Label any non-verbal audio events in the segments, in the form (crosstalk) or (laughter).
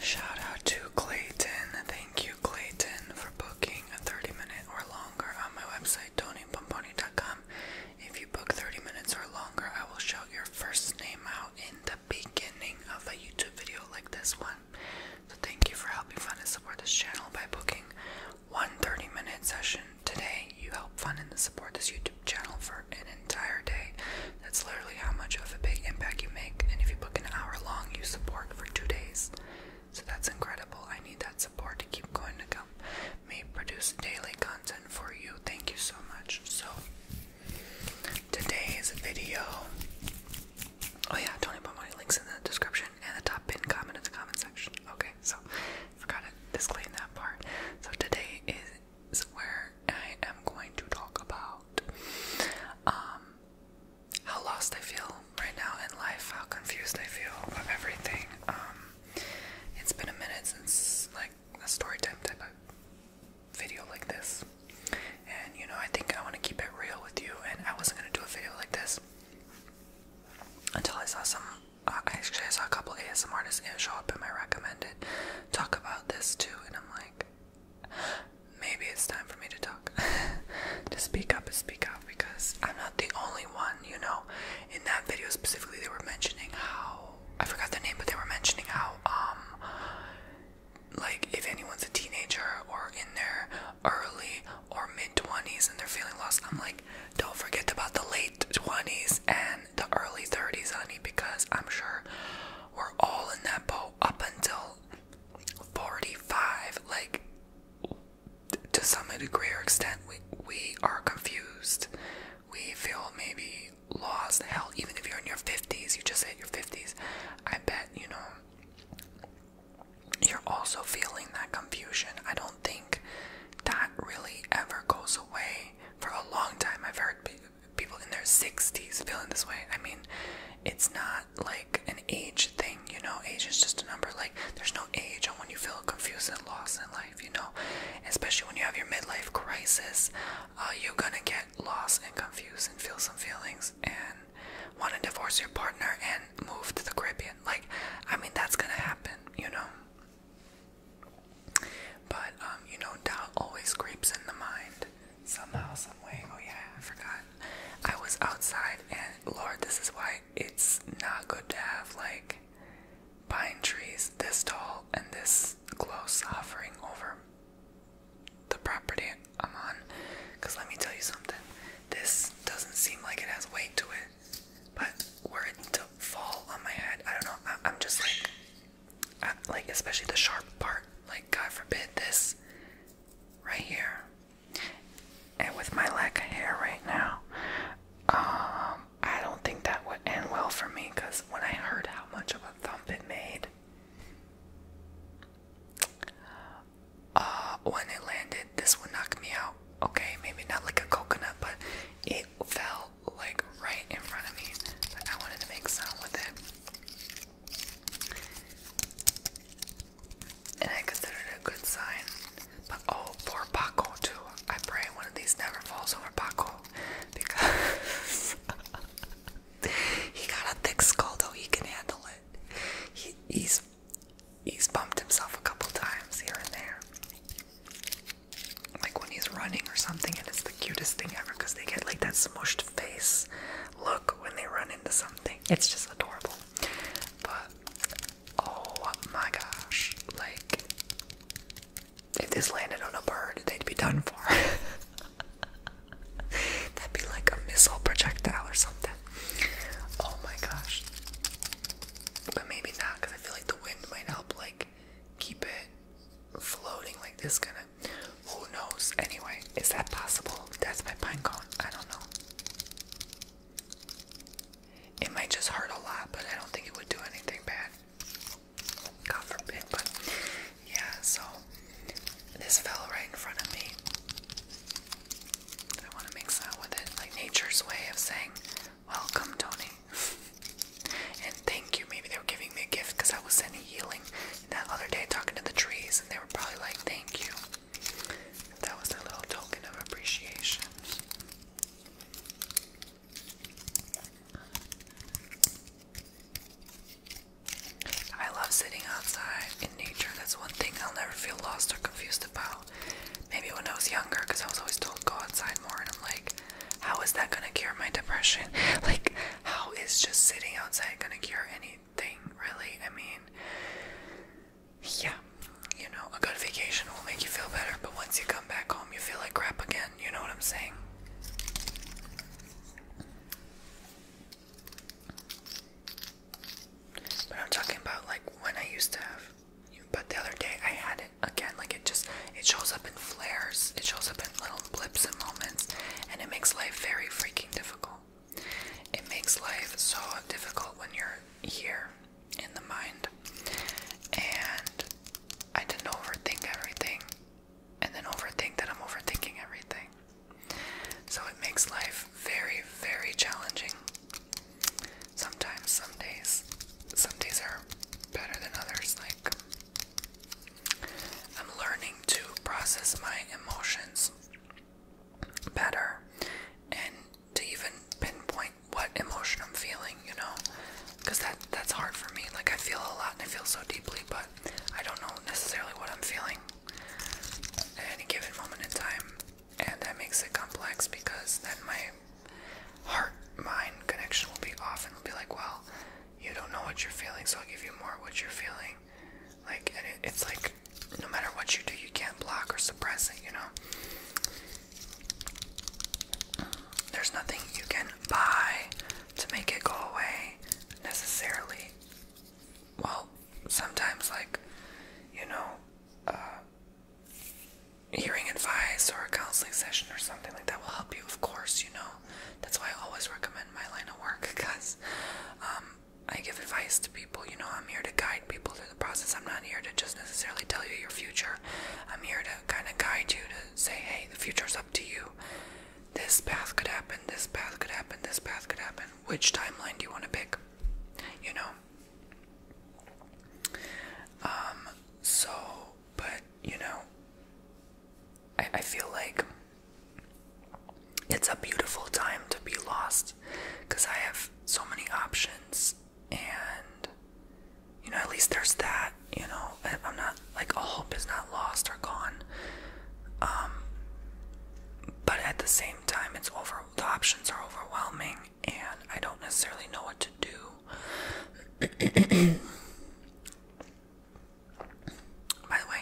Shout out to Clayton. Thank you, Clayton, for booking a 30 minute or longer on my website, TonyPomponi.com. If you book 30 minutes or longer, I will shout your first name out in the beginning of a YouTube video like this one. So, thank you for helping fund and support this channel by booking one 30 minute session today. You help fund and support this YouTube channel for an entire day. That's literally how much of a big impact you make. And if you book an hour long, you support for two days. So that's incredible. I need that support to keep going to come. May produce daily content for you. Thank you so much. So today's video. Oh yeah, Tony Pomoni links in the description and the top pinned comment in the comment section. Okay, so forgot to disclaim that part. So today is where I am going to talk about um, how lost I feel right now in life, how confused I feel of everything. Um, it's been a minute since like a story time type of video like this, and you know I think I want to keep it real with you. And I wasn't gonna do a video like this until I saw some. Uh, actually, I saw a couple ASM artists show up in my recommended talk about this too, and I'm like, Maybe it's time for me to talk. (laughs) to speak up and speak out because I'm not the only one, you know. In that video specifically, they were mentioning how I forgot their name, but they were mentioning how, um, like, if anyone's a teenager or in their early or mid 20s and they're feeling lost, I'm like, don't forget about the late 20s and the early 30s, honey, because I'm sure we're all in that boat up until 45. Like, to some degree or extent, we, we are confused. We feel maybe lost. Hell, even if you're in your 50s, you just hit your 50s. I bet, you know, you're also feeling that confusion. I don't think that really ever goes away for a long time. I've heard people people in their 60s feeling this way. I mean, it's not like an age thing, you know. Age is just a number. Like, there's no age on when you feel confused and lost in life, you know. Especially when you have your midlife crisis, uh, you're gonna get lost and confused and feel some feelings and want to divorce your partner and move to the Caribbean. Like, I mean, that's gonna happen, you know. But um, you know, doubt always creeps in the mind, somehow, some way. Oh yeah, I forgot. I was outside, and Lord, this is why it's not good to have like pine trees this tall and this close hovering over the property I'm on. Cause let me tell you something. This doesn't seem like it has weight to it, but were it to fall on my head, I don't know. I I'm just like like especially the sharp part. Like God forbid this right here. And with my lack of hair right now, um, I don't think that would end well for me. Cause when I heard how much of a thump it made, uh, when it landed, this would knock me out. Okay, maybe not like a coconut, but it fell like right in front of me. I wanted to make sound with it. And I consider it a good sign. But oh, poor Paco too. I pray one of these never falls over Paco (laughs) because (laughs) he got a thick skull though. He can handle it. He, he's he's bumped himself a couple times here and there. Like when he's running or something, and it's the cutest thing ever because they get like that smushed face look when they run into something. It's just adorable. But oh my gosh, like if this landed on a bird, they'd be done for. (laughs) That'd be like a missile projectile or something. Oh my gosh. But maybe not, because I feel like the wind might help, like, keep it floating like this gonna who knows anyway is that possible that's my pine cone i don't know it might just hurt a lot but i don't think it would do anything bad god forbid but yeah so this fell right in front of me i want to make sound with it like nature's way of saying welcome tony (laughs) and thank you maybe they were giving me a gift because i was sending healing that other day talking to the trees, and they were probably like, Thank you. That was their little token of appreciation. I love sitting outside in nature. That's one thing I'll never feel lost or confused about. Maybe when I was younger, because I was always told go outside more, and I'm like, how is that gonna cure my depression? (laughs) Like, how is just sitting outside gonna cure any anything really. I mean, yeah, you know, a good vacation will make you feel better, but once you come back home, you feel like crap again. You know what I'm saying? But I'm talking about like when I used to have. But the other day I had it again. Like it just, it shows up in flares. It shows up little blips and moments, and it makes life very freaking difficult. It makes life so difficult when you're here in the mind. And I didn't overthink everything, and then overthink that I'm overthinking everything. So it makes life very, very challenging. Sometimes, some days, some days are better than others. Like, I'm learning to process my emotions better and to even pinpoint what emotion I'm feeling, you know, because that that's hard for me. Like I feel a lot and I feel so deeply, but I don't know necessarily what I'm feeling at any given moment in time, and that makes it complex because then my heart-mind connection will be off and will be like, well, you don't know what you're feeling, so I'll give you more of what you're feeling. Like, and it's like, no matter what you do, you can't block or suppress it, you know? There's nothing you can buy to make it go away necessarily. Well, sometimes, like, you know, uh, hearing advice or a counseling session or something like that will help you, of course, you know? That's why I always recommend my line of work because (laughs) um, I give advice to people, you know, I'm here to guide people through the process. I'm not here to just necessarily tell you your future. I'm here to kind of guide you to say, hey, the future's up to you. This path could happen, this path could happen, this path could happen. Which timeline do you want to pick? You know? Um, so, but, you know, I, I feel like it's a beautiful time to be lost because I have so many options, and you know, at least there's that. You know, I'm not like all hope is not lost or gone. Um, but at the same time, it's over. The options are overwhelming, and I don't necessarily know what to do. (clears throat) (clears throat) By the way,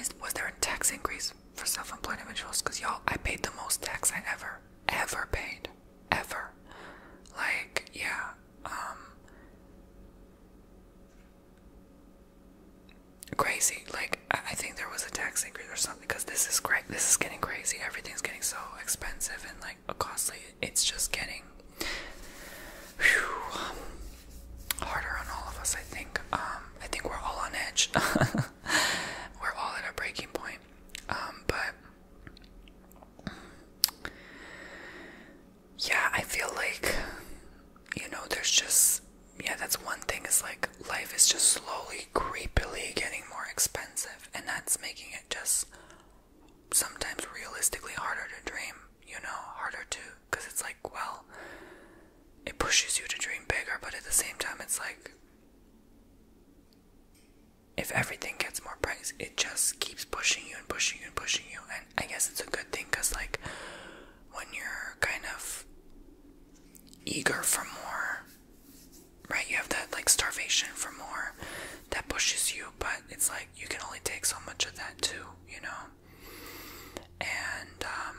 is, was there a tax increase for self-employed individuals? Cause y'all, I paid the most tax I ever, ever paid, ever. Like, yeah, um, crazy. Like, I think there was a tax increase or something. Cause this is crazy. This is getting crazy. Everything's getting so expensive and like costly. It's just getting harder on all of us, I think. Um, I think we're all on edge. (laughs) we're all at a breaking point. Um, but yeah, I feel like you know, there's just yeah, that's one thing is like life is just slowly, creepily getting more expensive, and that's making it just sometimes realistically harder to dream, you know, harder to because it's like, well, it pushes you to dream bigger, but at the same time, it's like if everything gets more price, it just keeps pushing you and pushing you and pushing you. And I guess it's a good thing because, like, when you're kind of eager for more, right, you have that like starvation for more that pushes you, but it's like you can only take so much of that too, you know? And, um,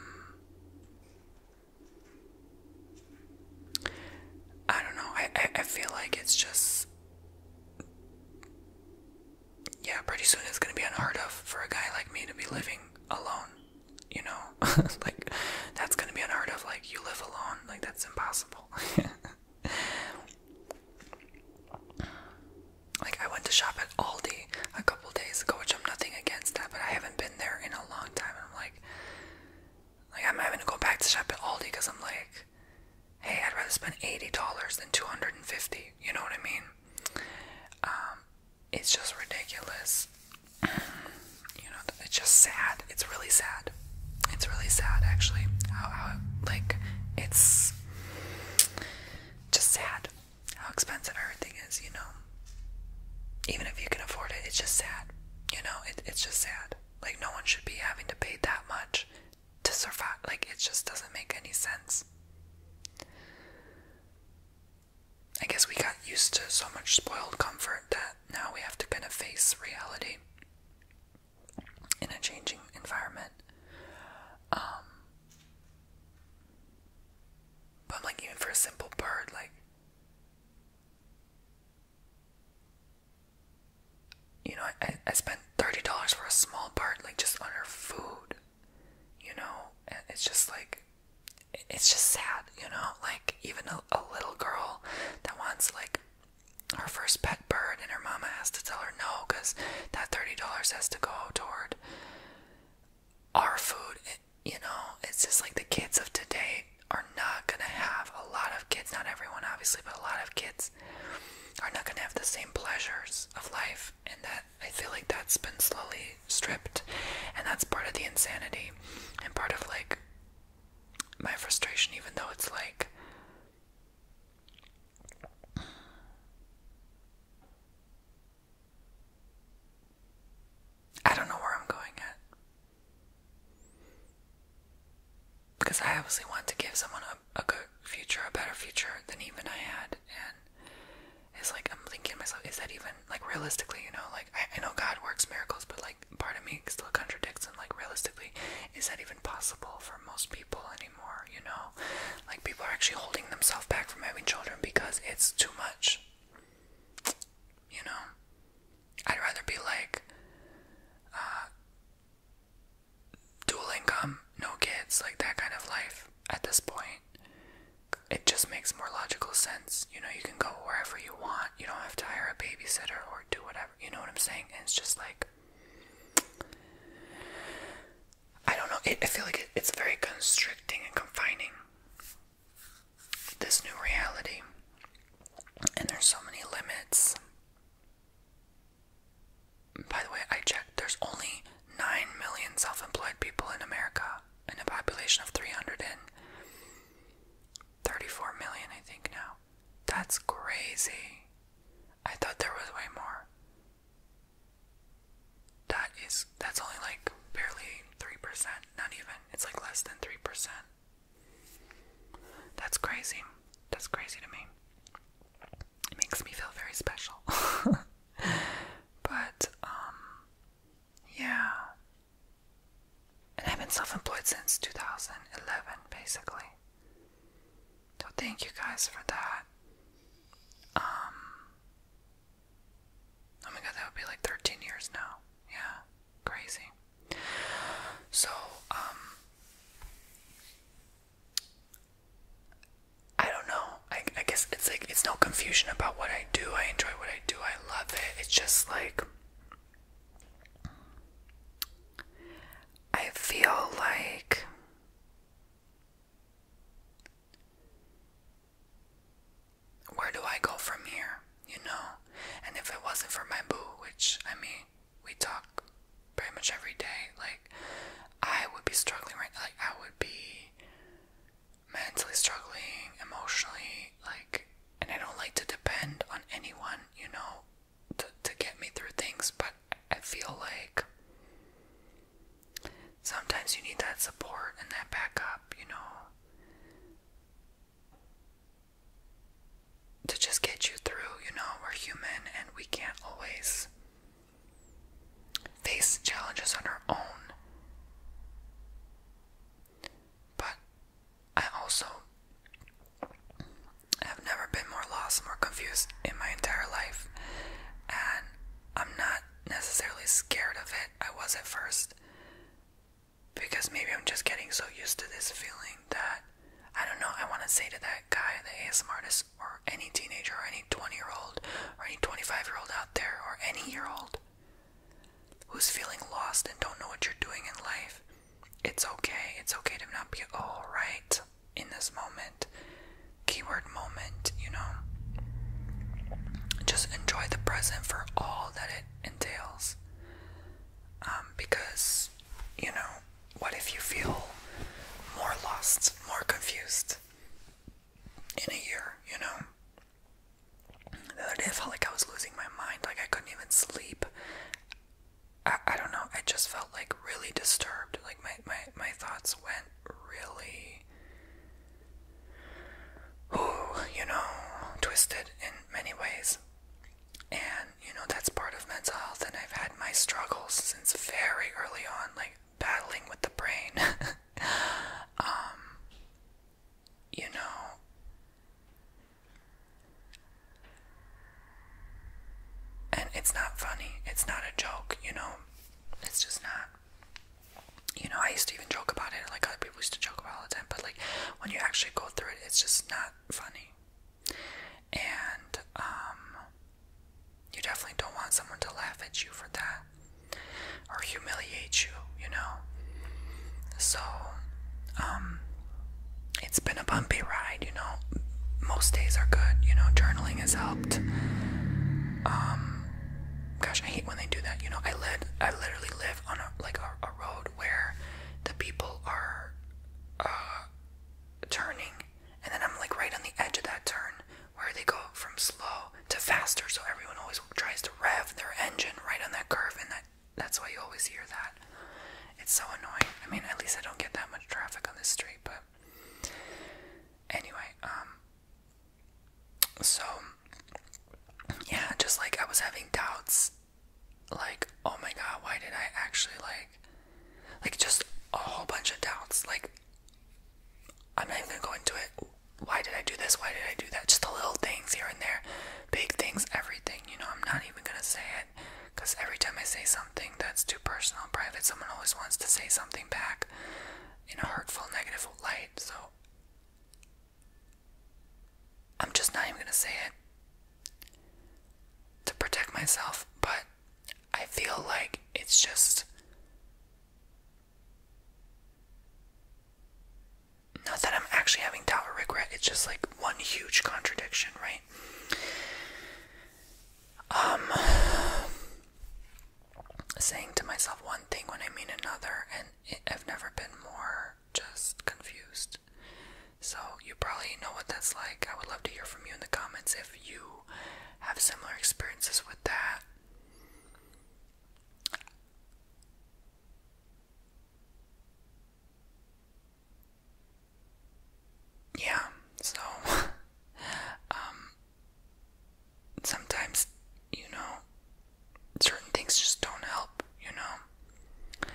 I don't know. I, I, I feel like it's just. Yeah, pretty soon it's gonna be unheard of for a guy like me to be living alone. You know? (laughs) like, that's gonna be unheard of. Like, you live alone. Like, that's impossible. (laughs) like, I went to shop at Aldi a couple days ago, which I'm nothing against that, but I have not been there in a long time. And I'm like, like I'm having to go back to shop at Aldi because I'm like, hey, I'd rather spend eighty dollars than two hundred and fifty. You know what I mean? Um, it's just ridiculous. you know, it's just sad. It's really sad. It's really sad, actually. how like it's just sad how expensive everything is, you know. Even if you can afford it, it's just sad. You know, it, it's just sad. Like, no one should be having to pay that much to survive. Like, it just doesn't make any sense. I guess we got used to so much spoiled comfort that now we have to kind of face reality in a changing environment. Um, but I'm like, even for a simple bird, like, you know, I, I spent $30 for a small bird, like, just on her food, you know? And it's just like, it's just sad, you know? Like, even a little girl that wants, like, her first pet bird, and her mama has to tell her no because that $30 has to go toward our food you know, it's just like the kids of today are not gonna have a lot of kids, not everyone obviously, but a lot of kids are not gonna have the same pleasures of life, and that I feel like that's been slowly stripped, and that's part of the insanity and part of like my frustration, even though it's like. I don't know where I'm going at. Because I obviously want to give someone a, good future, a better future than even I had. And it's like, I'm thinking myself, is that even, like, realistically, you know, like, I, I know God works miracles, but, like, part of me still contradicts and, like, realistically, is that even possible for most people anymore, you know? Like, people are actually holding themselves back from having children because it's too much you know, I'd rather be like uh, dual income, no kids, like that kind of life at this point. It just makes more logical sense. You know, you can go wherever you want. You don't have to hire a babysitter or do whatever. You know what I'm saying? And it's just like, I don't know. It, I feel like it's very constricting and confining this new reality. And there's so many limits. By the way, I checked, there's only 9 million self employed people in America, in a population of 334 million, I think now. That's crazy. I thought there was way more that is that's only like barely 3%, not even. It's like less than 3%. That's crazy. That's crazy to me. It makes me feel very special. (laughs) but um yeah. And I've been self-employed since 2011 basically. So thank you guys for that. Um Oh my god, that would be like 13 years now. Yeah, crazy. So, um, I don't know. I, I guess it's like, it's no confusion about what I do. I enjoy what I do. I love it. It's just like, I feel like where do I go from here? You know? And if it wasn't for my boo, which I mean, we talk pretty much every day, like I would be struggling right like I would be mentally struggling, emotionally, like and I don't like to depend on anyone, you know, to to get me through things, but I feel like sometimes you need that support and that backup, you know to just get you through. You know, we're human and we can't always face challenges on our own. But I also have never been more lost, more confused in my entire life, and I'm not necessarily scared of it. I was at first. Because maybe I'm just getting so used to this feeling that I don't know, I want to say to that guy, the ASM artist, or any teenager, or any 20 year old, or any 25 year old out there, or any year old who's feeling lost and don't know what you're doing in life, it's okay. It's okay to not be all right in this moment. Keyword moment, you know. Just enjoy the present for all that entails. Um, because, you know, what if you feel more lost, more confused in a year, you know? The other day I felt like I was losing my mind, like I couldn't even sleep. I, I don't know, I just felt like really disturbed. Like my, my, my thoughts went really who, you know, twisted in many ways. And, you know, that's part of mental health, and I've had my struggles since very early on, like battling with the brain. (laughs) um, you know, and it's not funny, it's not a joke, you know, it's just not you know, I used to even joke about it, like other people used to joke about it all the time, but like when you actually go through it, it's just not funny. And um you definitely don't want someone to laugh at you for that or humiliate you, you know. So um it's been a bumpy ride, you know. Most days are good, you know, journaling has helped. Um gosh, I hate when they do that, you know. I led I literally lived on a, like a, road where the people are uh, turning, and then I'm like right on the edge of that turn where they go from slow to faster. So everyone always tries to rev their engine right on that curve, and that that's why you always hear that. It's so annoying. I mean, at least I don't get that much traffic on this street, but anyway, um, so, yeah, just like I was having doubts, like, oh my god, why did I actually like, like, just a whole bunch of doubts. Like, I'm not even gonna go into it. Why did I do this? Why did I do that? Just the little things here and there, big things, everything. You know, I'm not even gonna say it because every time I say something that's too personal and private, someone always wants to say something back in a hurtful, negative light. So, I'm just not even gonna say it to protect myself, but I feel like it's just not that I'm actually having tower or regret, it's just like one huge contradiction, right? Um saying to myself one thing when I mean another and I've never been more just confused. So, you probably know what that's like. I would love to hear from you in the comments if you have similar experiences with that. Yeah, so, (laughs) um, sometimes, you know, certain things just don't help, you know.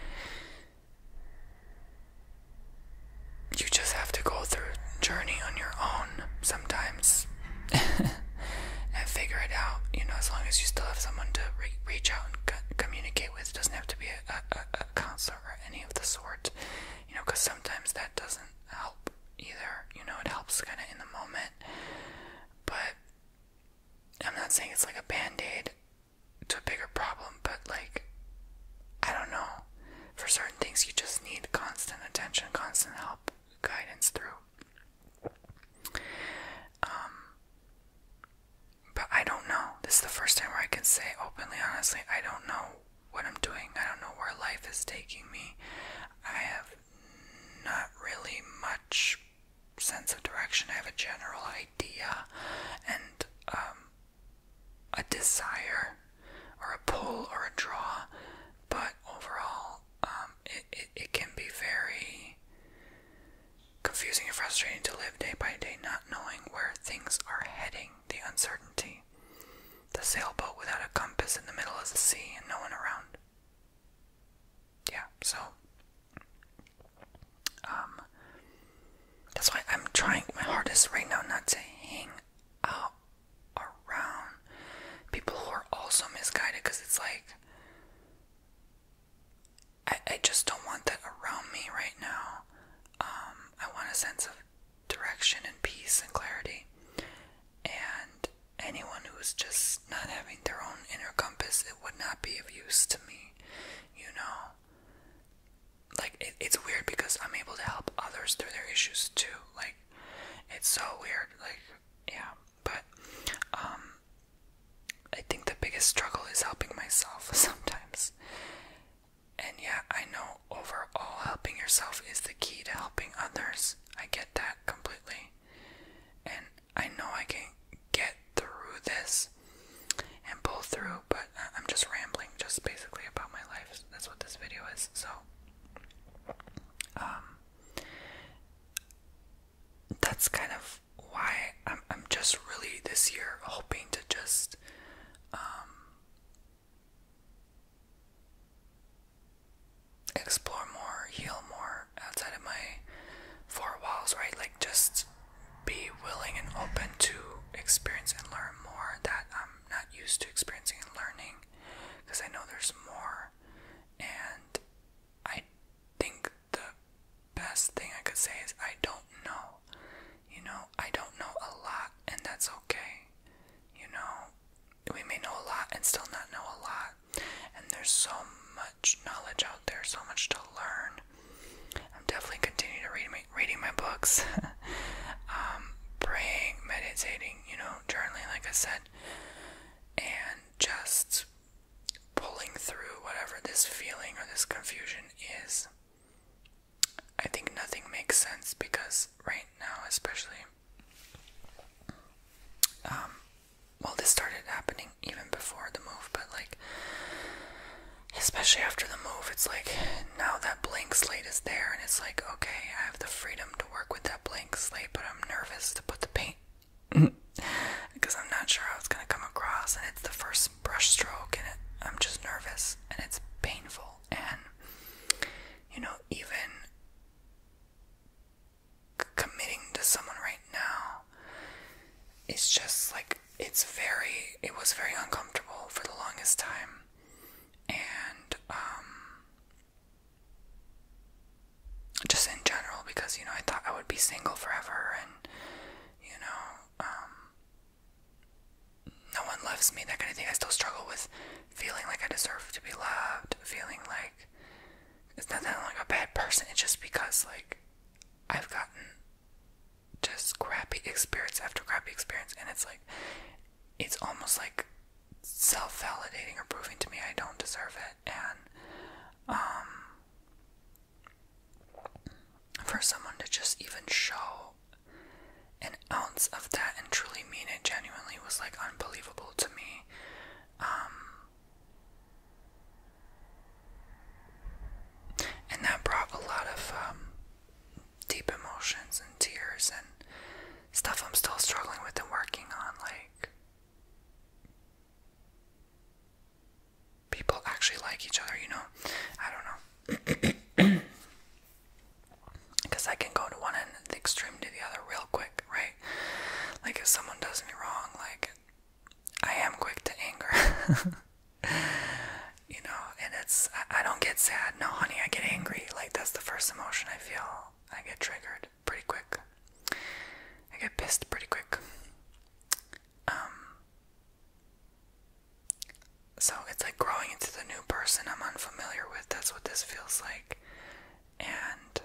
You just have to go through a journey on your own sometimes (laughs) and figure it out, you know, as long as you still have someone to reach out and communicate with. It doesn't have to be a, a, a counselor or any of the sort, you know, because sometimes that doesn't help either, you know, it helps kind of in the moment. But I'm not saying it's like a band aid to a bigger problem, but like, I don't know. For certain things, you just need constant attention, constant help, guidance through. Um, but I don't know. This is the first time where I can say openly, honestly, I don't know what I'm doing. I don't know where life is taking me. I have not really much sense of direction, I have a general idea and um, a desire or a pull or a draw, but overall, um, it, it can be very confusing and frustrating to live day by day, not knowing where things are heading, the uncertainty. The sailboat without a compass in the middle of the sea and no one around. Yeah, so um, that's why I'm trying my hardest right now not to hang out around people who are also misguided because it's like I, just don't want that around me right now. Um, I want a sense of direction and peace and clarity. And anyone who's just not having their own inner compass, it would not be of use to me, you know? Like, it's weird because I'm able to help others through their issues too. Like, it's so weird. Like, yeah. But, um, I think the biggest struggle is helping myself (laughs) sometimes. And yeah, I know overall helping yourself is the key to helping others. I get that completely. And I know I can get through this and pull through, but I'm just rambling, just basically about my life. That's what this video is. So, um, that's kind of why I'm, I'm just really this year hoping to just, um, explore more, heal more outside of my four walls, right? Like, just be willing and open to experience and learn more that I'm not used to experiencing and learning because I know there's more and I think the best thing I could say is I don't know. You know, I don't know a lot and that's okay. You know, we may know a lot and still not know a lot and there's so much knowledge out there, so much to learn. I'm definitely continuing to read my, reading my books, (laughs) um, praying, meditating, you know, journaling, like I said, and just pulling through whatever this feeling or this confusion is. I think nothing makes sense because right now, especially, um, well, this started happening even before the move, but like, especially after the move, it's like now that blank slate is there, and it's like, okay, I have the freedom to work with that blank slate, but I'm nervous to put the paint because (laughs) I'm not sure how it's gonna come across, and it's the first brush stroke, and I'm just nervous, and it's painful, and you know, even committing to someone right now it's just like it's very it was very uncomfortable for the longest time. And um just in general because you know I thought I would be single forever and you know um no one loves me that kind of thing I still struggle with feeling like I deserve to be loved feeling like it's not that i like a bad person it's just because like I've gotten just crappy experience after crappy experience, and it's like it's almost like self validating or proving to me I don't deserve it. And um, for someone to just even show an ounce of that and truly mean it genuinely was like unbelievable to me. Um, and that brought a lot of um, deep emotions and tears and stuff I'm still struggling with and working on. Like, people actually like each other, you know? I don't know. Because (clears throat) I can go to one end extreme to the other real quick, right? Like, if someone does me wrong, like, I am quick to anger. (laughs) you know, and it's I, don't get sad. No, honey, I get angry. Like that's the first emotion I feel. I get triggered pretty quick. I get pissed pretty quick. Um so it's like growing into the new person I'm unfamiliar with. That's what this feels like. And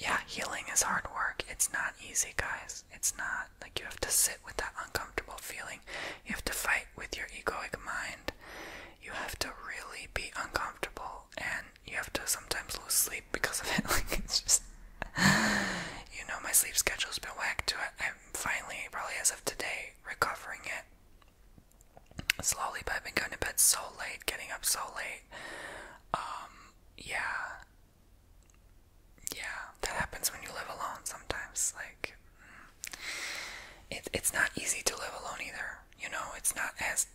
yeah, healing is hard work. It's not easy, guys. It's not like, you have to sit with that uncomfortable feeling. You have to fight with your egoic mind. You have to really be uncomfortable, and you have to sometimes lose sleep because of it. (laughs) Like, it's just. you know, my sleep schedule's been whacked to I'm finally, probably as of today, recovering it. Slowly, but I've been going to bed so late, getting up so late. Um, yeah yeah, that happens when you live alone sometimes. Like, mm, it, it's not easy to live alone either. You know, it's not as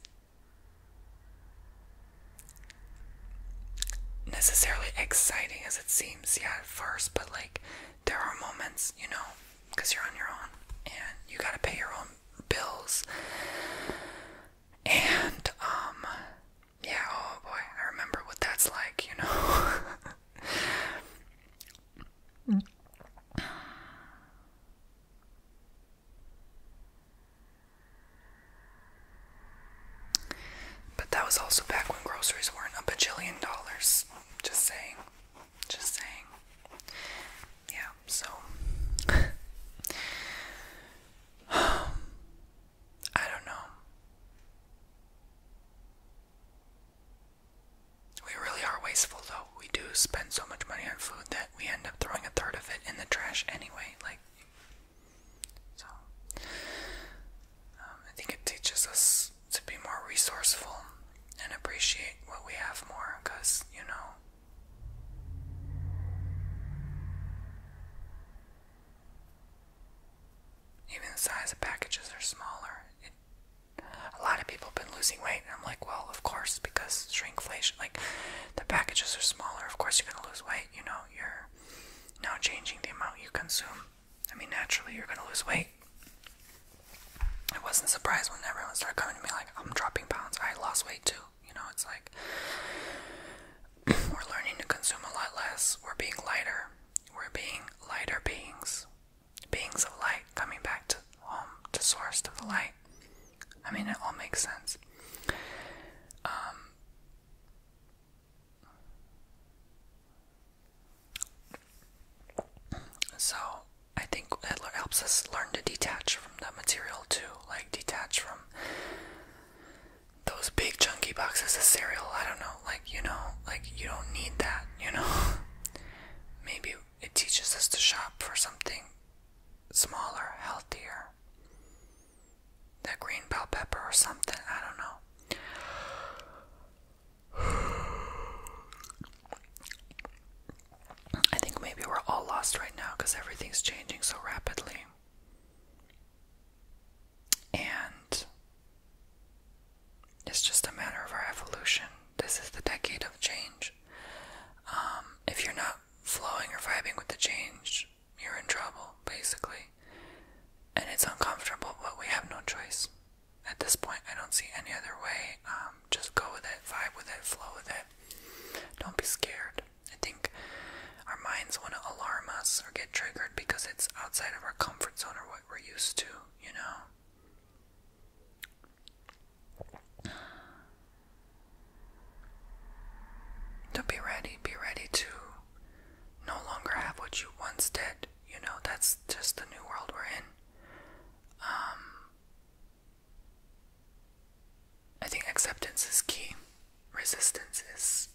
necessarily exciting as it seems, yeah, at first, but like, there are moments, you know, because you're on your own and you gotta pay your own bills. And, um, yeah, oh boy, I remember what that's like, you know. (laughs) But that was also back when groceries weren't a bajillion dollars. Just saying. Just saying. Yeah, so. (laughs) I don't know. We really are wasteful though. We do spend so much money on food that we end up throwing a third of it in the trash anyway. Like, so um, I think it teaches us to be more resourceful and appreciate what we have more because, you know. Even the size of packages are smaller. a lot of people have been losing weight, and I'm like, well, of course, because shrinkflation, like the packages are smaller. Of course, you're gonna lose weight. You know, you're now changing the amount you consume. I mean, naturally, you're gonna lose weight. I wasn't surprised when everyone started coming to me like, I'm dropping pounds. I lost weight too. You know, it's like we're learning to consume a lot less. We're being lighter. We're being lighter beings. Beings of light coming back to home, to source, to the light. I mean, it all makes sense. Um, so, I think it helps us learn to detach from the material too, like detach from those big chunky boxes of cereal. I don't know, like, you know, like, you don't need that, you know? (laughs) Maybe it teaches us to shop for something smaller, healthier. That green bell pepper or something, I don't know. (sighs) I think maybe we're all lost right now because everything's changing so rapidly. And it's just a matter of our evolution. This is the decade of change. Um, if you're not flowing or vibing with the change, you're in trouble, basically. And it's uncomfortable, but we have no choice. At this point, I don't see any other way. Um, just go with it, vibe with it, flow with it. Don't be scared. I think our minds want to alarm us or get triggered because it's outside of our comfort zone or what we're used to, you know? To be ready, be ready to no longer have what you once did, you know? That's just the new world we're in. Um, I think acceptance is key. Resistance is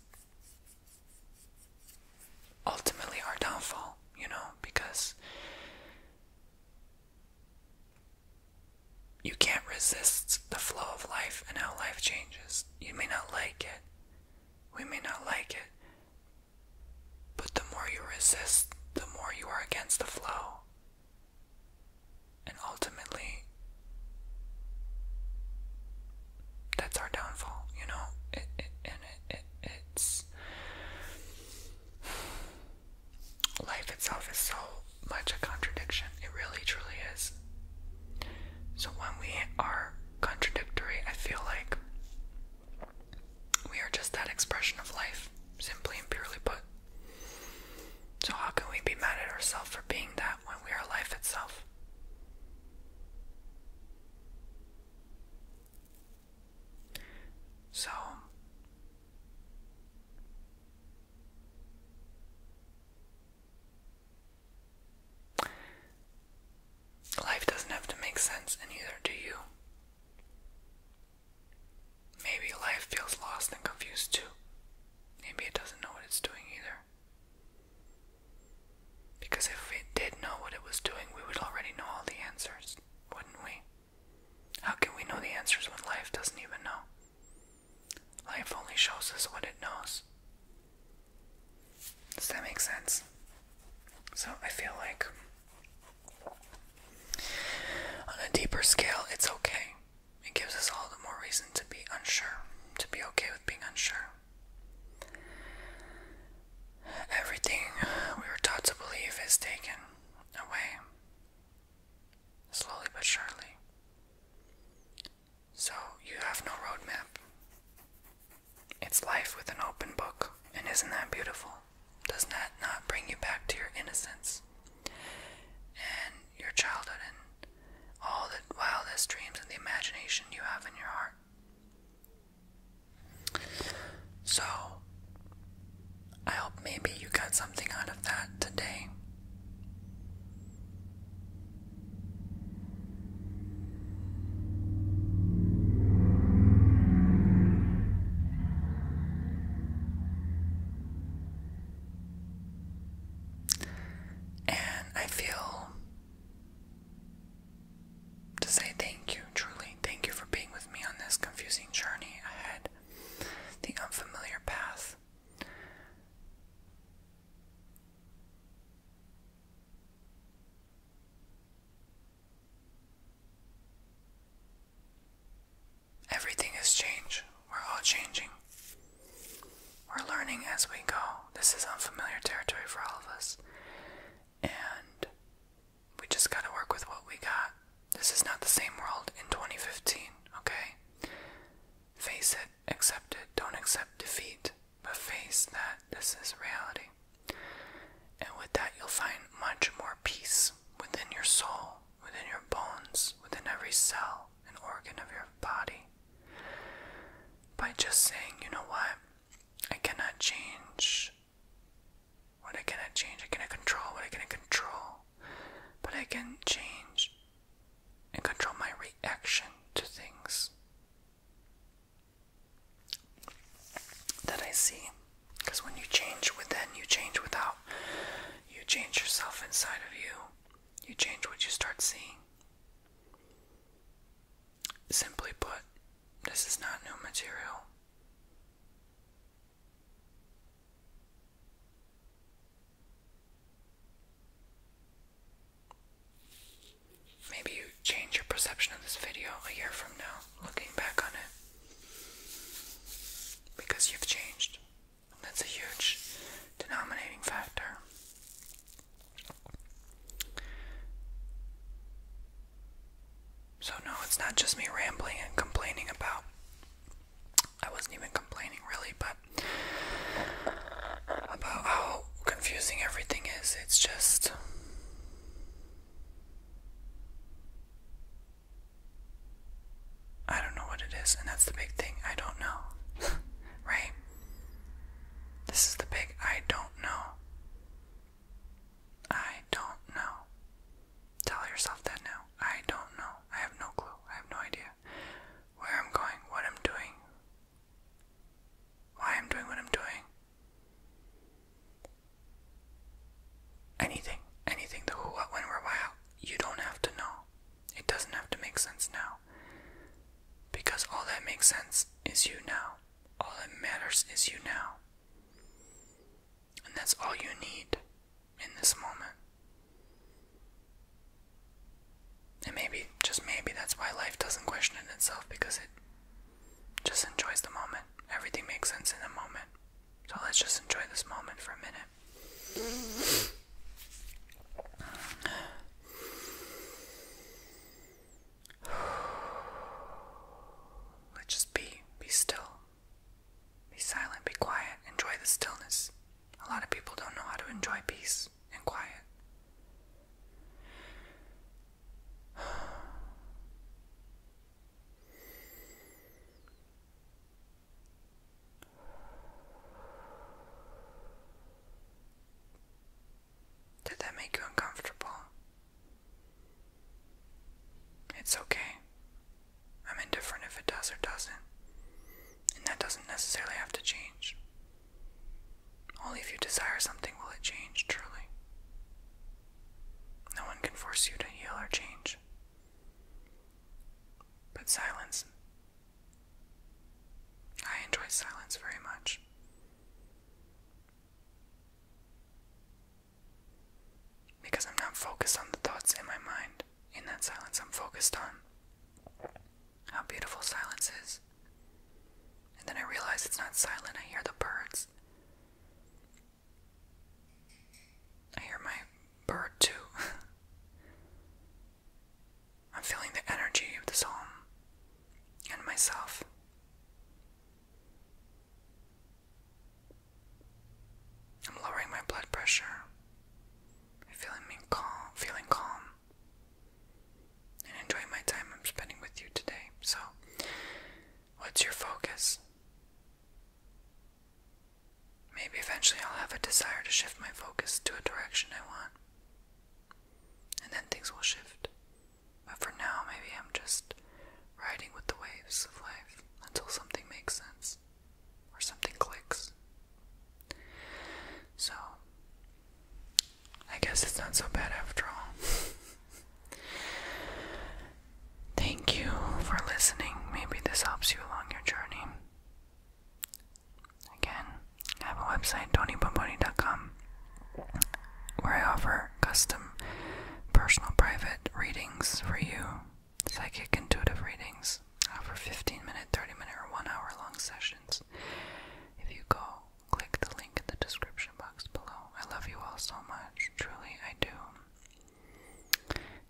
ultimately our downfall, you know, because you can't resist the flow of life and how life changes. You may not like it. We may not like it. But the more you resist, the more you are against the flow. And ultimately, that's our downfall, you know. It, it, it, it's life itself is so much a contradiction. It really, truly is. So when we are contradictory, I feel like we are just that expression of life, simply and purely put. So how can we be mad at ourselves for being that when we are life itself? So life doesn't have to make sense, and neither do you. Maybe life feels lost and confused too. Maybe it doesn't know what it's doing either. Because if it did know what it was doing, we would already know all the answers, wouldn't we? How can we know the answers when life doesn't even know? Life only shows us what it knows. Does that make sense? So I feel like on a deeper scale, it's okay. It gives us all the more reason to be unsure, to be okay with being unsure. Everything we were taught to believe is taken away, slowly but surely. So you have no roadmap. It's life with an open book, and isn't that beautiful? Does that not bring you back to your innocence and your childhood and all the wildest dreams and the imagination you have in your heart? So, I hope maybe you got something out of that today. And I feel to say thank you, truly, thank you for being with me on this confusing journey ahead, the unfamiliar path. Everything is changed. We're all changing. We're learning as we go. This is unfamiliar territory for all of us and we just got to work with what we got. This is not the same world in 2015, okay? Face it, accept it, don't accept defeat, but face that this is reality. And with that, you'll find much more peace within your soul, within your bones, within every cell and organ of your body. By just saying, you know what? I cannot change what I cannot change. I cannot control what I cannot control. But I can change and control my reaction to things that I see. Because when you change within, you change without. You change yourself inside of you. You change what you start seeing. Simply put, this is not new material. Maybe you change your perception of this video a year from now, looking back on it. Because you've changed. That's a huge denominating factor. So, no, it's not just me rambling and complaining about. I wasn't even complaining really, but about how confusing everything is. It's just. I don't know what it is, and that's the big thing. I don't know. (laughs) right? This is the big I don't know. I don't know. Tell yourself that now. I don't know. I have no clue. I have no idea where I'm going, what I'm doing, why I'm doing what I'm doing. Anything, anything, the who, what, when, where, why, how, you don't have to know. It doesn't have to make sense now. Because all that makes sense is you now. All that matters is you now. And that's all you need in this moment. And maybe, just maybe, that's why life doesn't question itself because it just enjoys the moment. Everything makes sense in the moment. So let's just enjoy this moment for a minute. Let's just be, be still, be silent, be quiet, enjoy the stillness. A lot of people don't know how to enjoy peace and quiet. Did that make you uncomfortable? It's okay. I'm indifferent if it does or doesn't, and that doesn't necessarily have to change. Only if you desire something will it change truly. No one can force you to heal or change. But silence. I enjoy silence very much. Because I'm not focused on the thoughts in my mind. In that silence, I'm focused on how beautiful silence is. And then I realize it's not silent, I hear the birds. I hear my bird too. (laughs) I'm feeling the energy of the psalm and myself. I'm lowering my blood pressure. I'm feeling me calm, feeling calm, and enjoying my time I'm spending with you today. So, what's your focus? Maybe eventually I'll have a desire to shift my focus to a direction I want, and then things will shift. But for now, maybe I'm just riding with the waves of life until something makes sense or something clicks. So, I guess it's not so bad after all. (laughs) Thank you for listening. Maybe this helps you along your journey. Again, have a website, tonybomboni.com where I offer custom personal private readings for you, psychic intuitive readings. I offer 15 minute, 30 minute, or 1 hour long sessions. If you go, click the link in the description box below. I love you all so much. Truly, I do.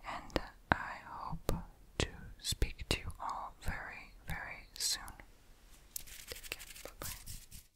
And I hope to speak to you all very, very soon. Take care. Bye